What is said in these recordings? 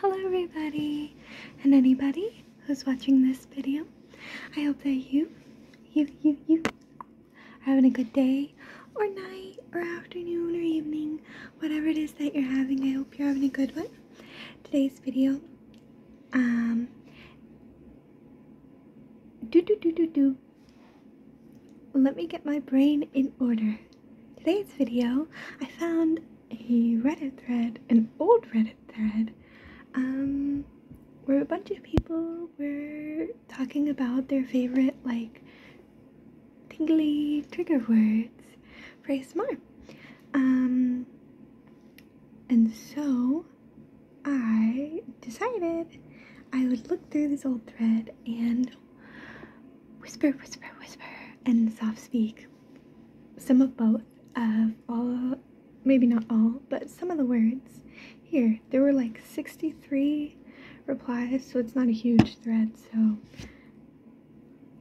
Hello everybody and anybody who's watching this video. I hope that you, you, you, you are having a good day or night or afternoon or evening, whatever it is that you're having. I hope you're having a good one. Today's video, um, do do do do do. Let me get my brain in order. Today's video, I found a Reddit thread, an old Reddit thread, um, where a bunch of people were talking about their favorite, like, tingly trigger words for ASMR. Um, and so I decided I would look through this old thread and whisper, whisper, whisper, and soft speak. Some of both of all, maybe not all, but some of the words. Here, there were like 63 replies, so it's not a huge thread, so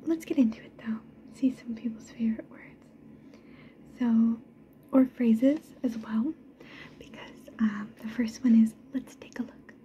let's get into it though. See some people's favorite words. So, or phrases as well, because um, the first one is let's take a look.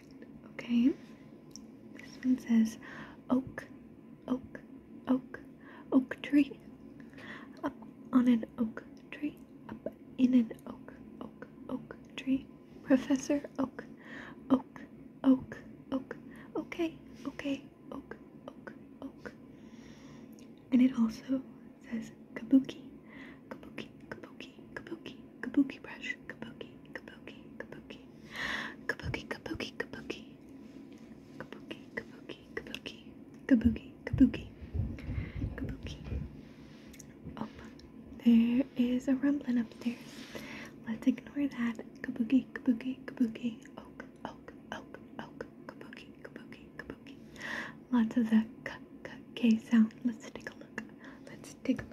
Perfect. Okay. This one says oak, oak, oak, oak tree. Up on an oak tree. Up in an oak, oak, oak tree. Professor Oak, oak, oak, oak. Okay, okay, oak, oak, oak. And it also says kabuki, kabuki, kabuki, kabuki, kabuki brush, kabuki, kabuki, kabuki, kabuki, kabuki, kabuki, kabuki, kabuki, kabuki, kabuki, kabuki, kabuki. Oh, there is a rumbling upstairs. Let's ignore that. Kabuki, kabuki, kabuki, oak, oak, oak, oak, kabuki, kabuki, kabuki. Lots of the k k k sound. Let's take a look. Let's take a look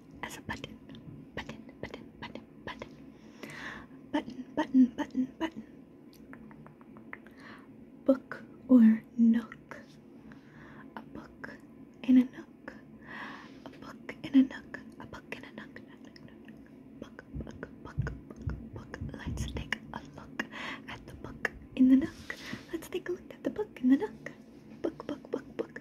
as a button, button, button, button, button, button, button, button, button. Book or nook, a book in a nook, a book in a nook, a book in a nook. Book, book, book, book, book. Let's take a look at the book in the nook. Let's take a look at the book in the nook. Book, book, book, book.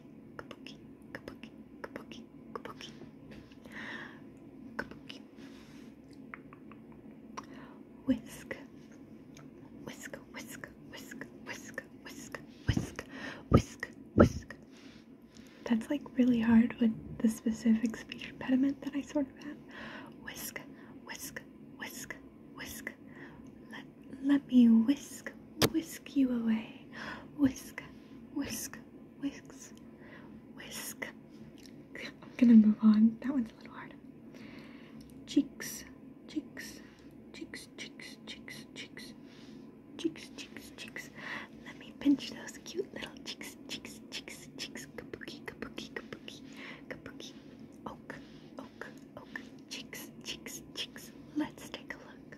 kabuki, kabuki, kabuki, kabuki, kabuki, kabuki. Whisk, whisk, whisk, whisk, whisk, whisk, whisk, whisk, whisk. That's like really hard with the specific speech impediment that I sort of have. Whisk, whisk, whisk, whisk. Let let me whisk, whisk you away. Whisk, whisk, whisks, whisk. I'm gonna move on. That one's a little hard. Cheeks, cheeks, cheeks, cheeks, cheeks, cheeks, cheeks, cheeks, cheeks. Let me pinch those cute little cheeks, cheeks, cheeks, cheeks. Kabuki, kabuki, kabuki, kabuki. Oak, oak, oak. Cheeks, cheeks, cheeks. Let's take a look.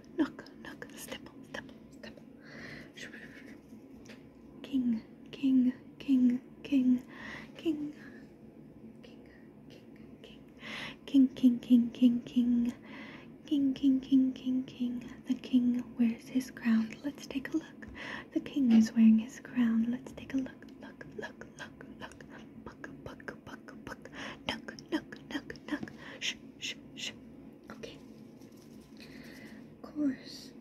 nook, nook, nook, stipple, stipple, stipple. King, king, king, king, king, king, king, king, king, king, king, king. King, king, king, king, king. The king wears his crown. Let's take a look. The king is wearing his crown. Let's take a look. Look, look, look, look. Buck, buck, buck, buck. Duck, duck, duck, duck. Shh, shh, shh. Okay. Course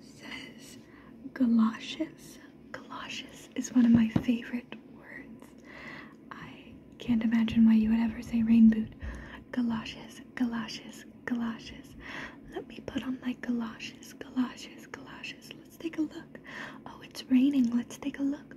says galoshes. Galoshes is one of my favorite words. I can't imagine why you would ever say rain boot. Galoshes, galoshes, galoshes. Let me put on my galoshes, galoshes, galoshes. Let's take a look. Oh, it's raining. Let's take a look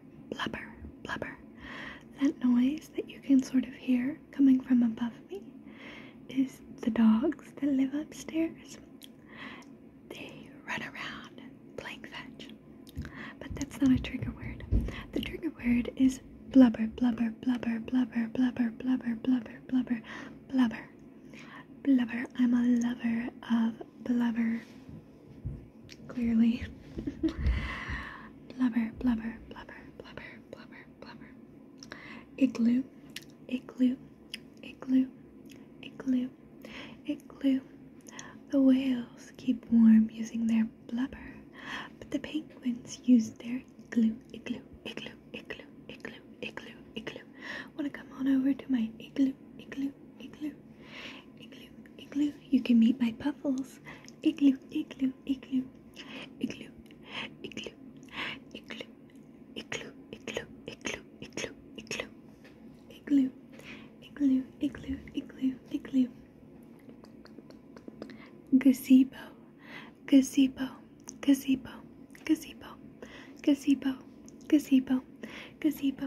blubber, blubber, blubber. That noise that you can sort of hear coming from above me is the dogs that live upstairs. They run around playing fetch. But that's not a trigger word. The trigger word is blubber, blubber, blubber, blubber, blubber, blubber, blubber, blubber, blubber. Blubber. I'm a lover of blubber. Clearly. blubber, blubber, blubber, blubber, blubber, blubber. Igloo, igloo, igloo, igloo, igloo. The whales keep warm using their blubber, but the penguins use their igloo, igloo, igloo, igloo, igloo, igloo, igloo. Wanna come on over to my igloo, igloo, igloo, igloo, igloo, igloo. You can meet my puffles. Igloo, igloo, igloo, igloo, igloo, igloo, igloo, igloo, igloo, igloo, igloo, igloo, igloo, igloo, igloo, igloo. Gazebo, gazebo, gazebo, gazebo, gazebo, gazebo, gazebo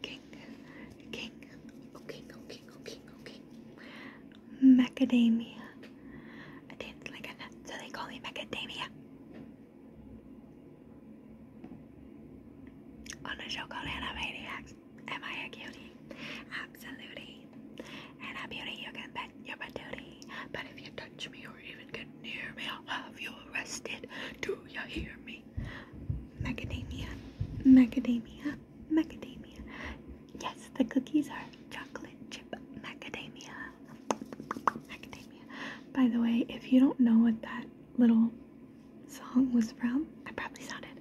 king, king, oh king, oh king, oh king, oh king. Macadamia. I didn't like a nut, so they call me macadamia. On a show called Animaniacs. Am I a cutie? Absolutely. And a beauty, you can bet your patootie. But if you touch me or even get near me, I'll have you arrested. Do you hear me? Macadamia, macadamia, macadamia. Yes, the cookies are chocolate chip macadamia. Macadamia. By the way, if you don't know what that little song was from, I probably sounded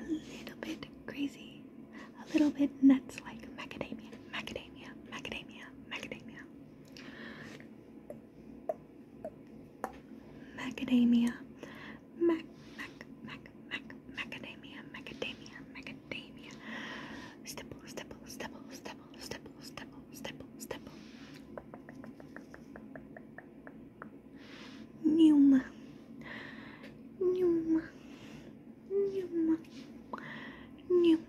a little bit crazy, a little bit nuts like macadamia, macadamia, macadamia, macadamia. Macadamia. Mac, mac, mac, mac, macadamia, macadamia, macadamia. Stipple, stipple, stipple, stipple, stipple, stipple, stipple, stipple. Numa. Numa. Numa. Numa.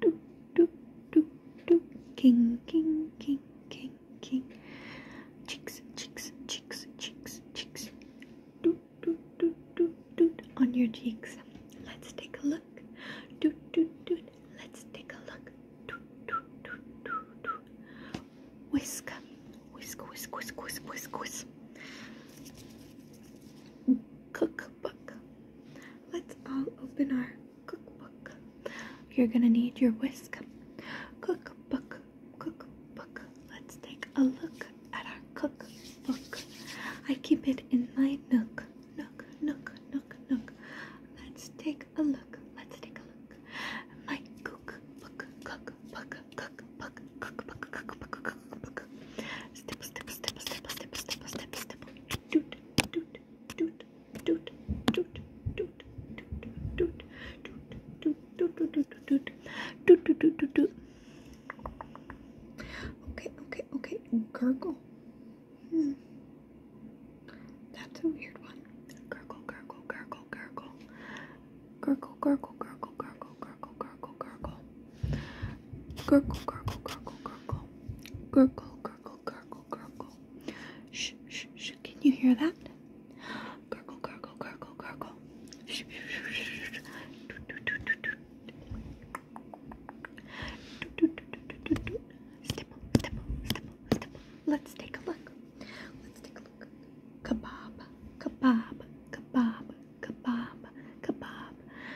do do do do king king king king king chicks chicks chicks chicks chicks do do do do do on your cheeks let's take a look do do do let's take a look do do do do do whisk whisk whisk whisk whisk whisk whisk cookbook. Let's all open our cookbook. You're gonna need your whisk. Cookbook, cookbook. Let's take a look at our cookbook. I keep it in my nook, nook, nook, nook, nook. Let's take a look. Let's take a look. My cookbook, cookbook, cookbook, cookbook, cookbook, cookbook. Stipple, stipple, stipple, stipple, stipple, stipple, stipple, stipple. Doot, doot, doot, toot, toot, toot, toot, toot, toot, toot, Okay, okay, okay. Gurgle. Hmm. That's a weird one. Gurgle, gurgle, gurgle, gurgle. Gurgle, gurgle, gurgle, gurgle, gurgle, gurgle, gurgle. Gurgle, gurgle, gurgle, gurgle. Gurgle. Can you hear that? Let's take a look. Let's take a look. Kebab, kebab, kebab, kebab, kebab,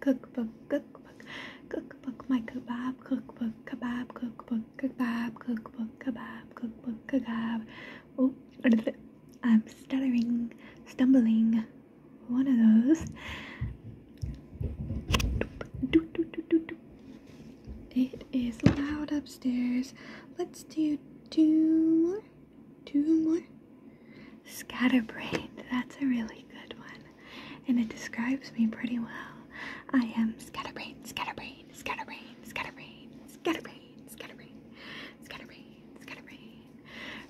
cookbook, cookbook, cookbook, cookbook, my kebab, cookbook, kebab, cookbook, kebab, cookbook, kebab, cookbook, kebab. Oh, I'm stuttering, stumbling. One of those. It is loud upstairs. Let's do two more two more. Scatterbrained, that's a really good one. And it describes me pretty well. I am scatterbrained, scatterbrained, scatterbrained, scatterbrained, scatterbrained, scatterbrained, scatterbrained, scatterbrained.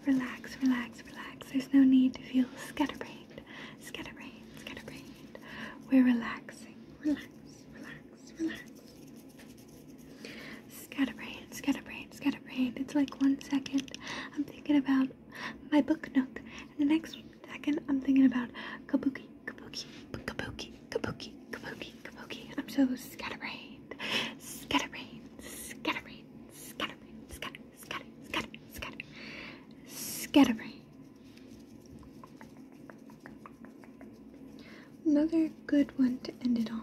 Relax, relax, relax. There's no need to feel scatterbrained, scatterbrained, scatterbrained. We're relaxing. Relax, relax, relax. Scatterbrain, scatterbrain, scatterbrain. It's like one second I'm thinking about my book note, and the next second I'm thinking about kabuki, kabuki, kabuki, kabuki, kabuki, kabuki. I'm so scatterbrain, scatterbrain, scatterbrain, scatterbrain, scatter, scatter, scatter, scatter, scatterbrained. Another good one to end it on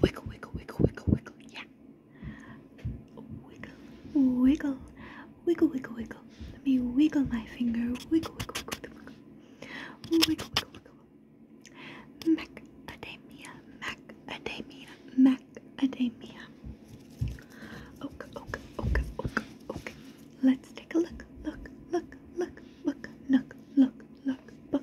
Wiggle, wiggle, wiggle, wiggle, wiggle. Yeah. Wiggle, wiggle, wiggle, wiggle, wiggle. Let me wiggle my finger. Wiggle, wiggle, wiggle, wiggle. Wiggle, wiggle, wiggle. Macadamia, macadamia, macadamia. Okay, okay, okay, okay, okay. Let's take a look, look, look, look, look, look, look, look, look.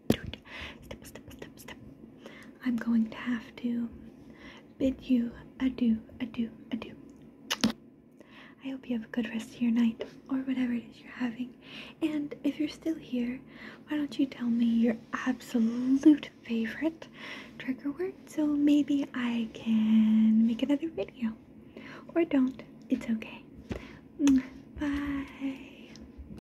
I'm going to have to bid you adieu, adieu, adieu. I hope you have a good rest of your night or whatever it is you're having. And if you're still here, why don't you tell me your absolute favorite trigger word so maybe I can make another video. Or don't. It's okay. Mm, bye.